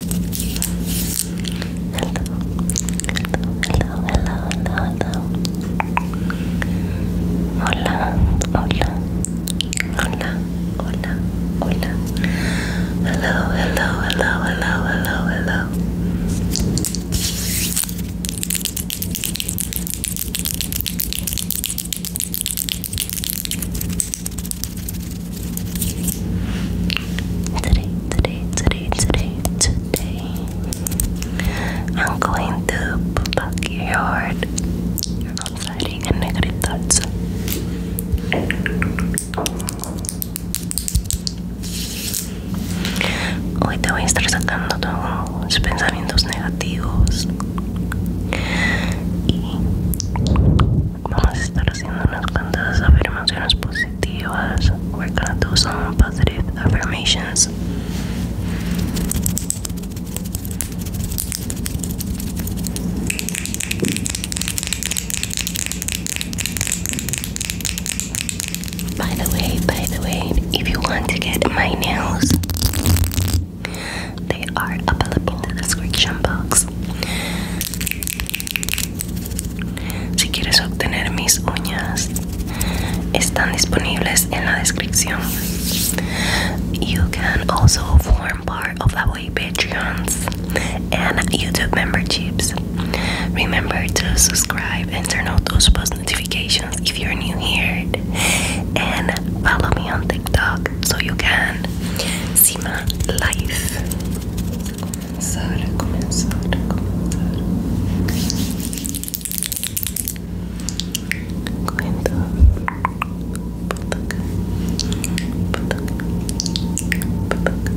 Hello, hello, hello, hello. Hola, hola, hola, hola, hola. Hello, hello, hello, hello, hello, hello. Today, today, today, today, today, I'm going to backyard. I'm fighting a negative thoughts. Hoy te voy a estar sacando todos pensamientos negativos y vamos a estar haciéndonos cuantas afirmaciones positivas. We're gonna do some positive affirmations. By the way, by the way, if you want to get my nails, they are available in the description box. If you Si quieres obtener mis uñas, are available in the description. You can also form part of our Patreons and YouTube memberships. Remember to subscribe and turn on those post notifications if you're new here. And follow me on TikTok so you can see my life. começar a começar a começar correndo Pataca, pataca, pataca, pataca, pataca.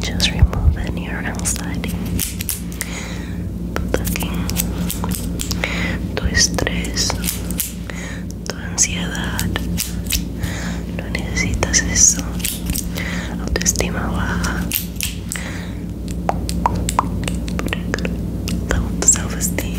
Just remove any or outside. tu estrés, tu ansiedad. No necesitas eso. Autoestima baja. Self-esteem.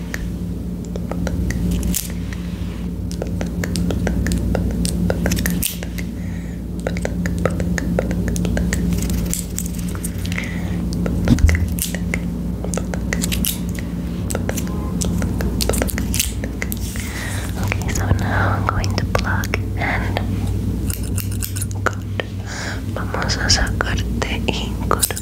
Okay, so now I'm going to plug and Vamos a sacarte y cortar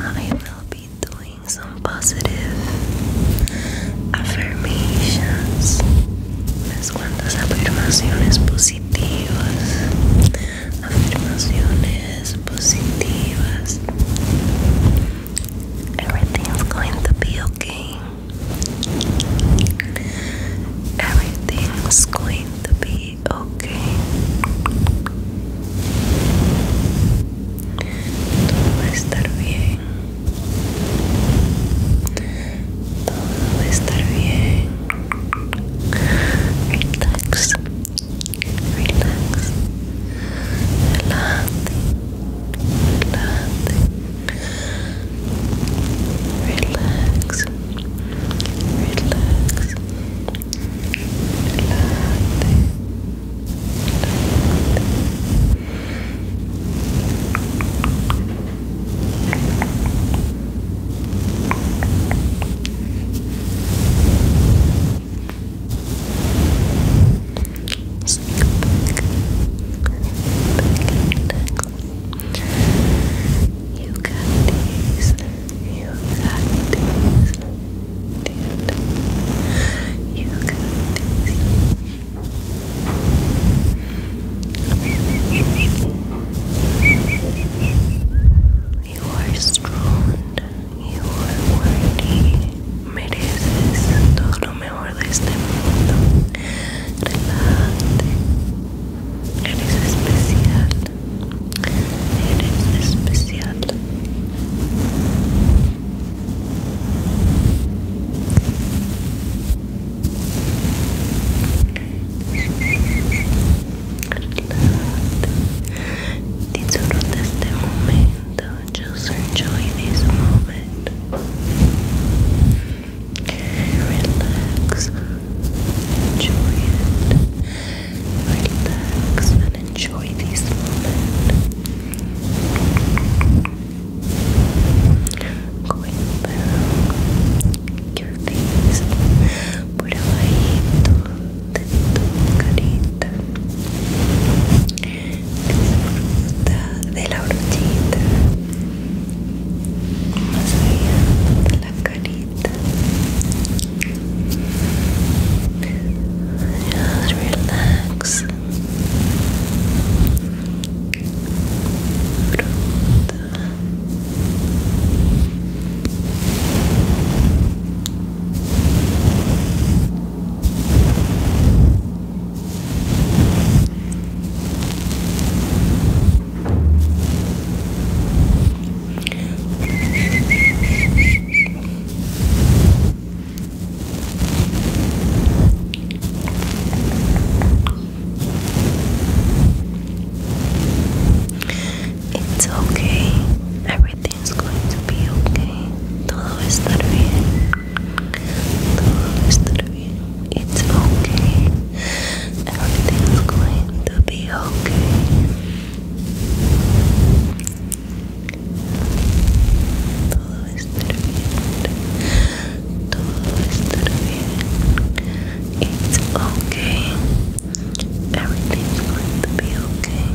I will be doing some positive affirmations, unas cuantas affirmations positivas, afirmaciones positivas. Everything's going to be okay. Everything's going to be okay. Todo va a estar bien. Todo va a estar bien. Relax. Relax. Adelante. Adelante. Relax. Relax. Sneak back, back, relax, you got these. You got these. You got these. You are strong. You are worthy. Mereces todo lo mejor de este mundo. Relájate. Eres especial. Eres especial. Disfruta este momento. Just enjoy this moment. Relax, enjoy it. Relax and enjoy these moments. Going back your face por abajito de tu carita. Disfruta de la brochita. Más allá de la carita. Just relax. Pronto. It's okay. Everything's going to be okay. Todo va bien. Todo va bien. It's okay. Everything's going to be okay. Todo estará bien. Todo estará bien. It's okay. Everything's going to be okay.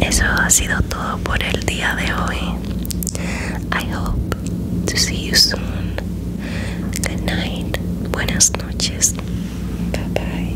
Eso ha sido todo por el día de hoy. I hope to see you soon. Good night. Buenas noches. Bye bye.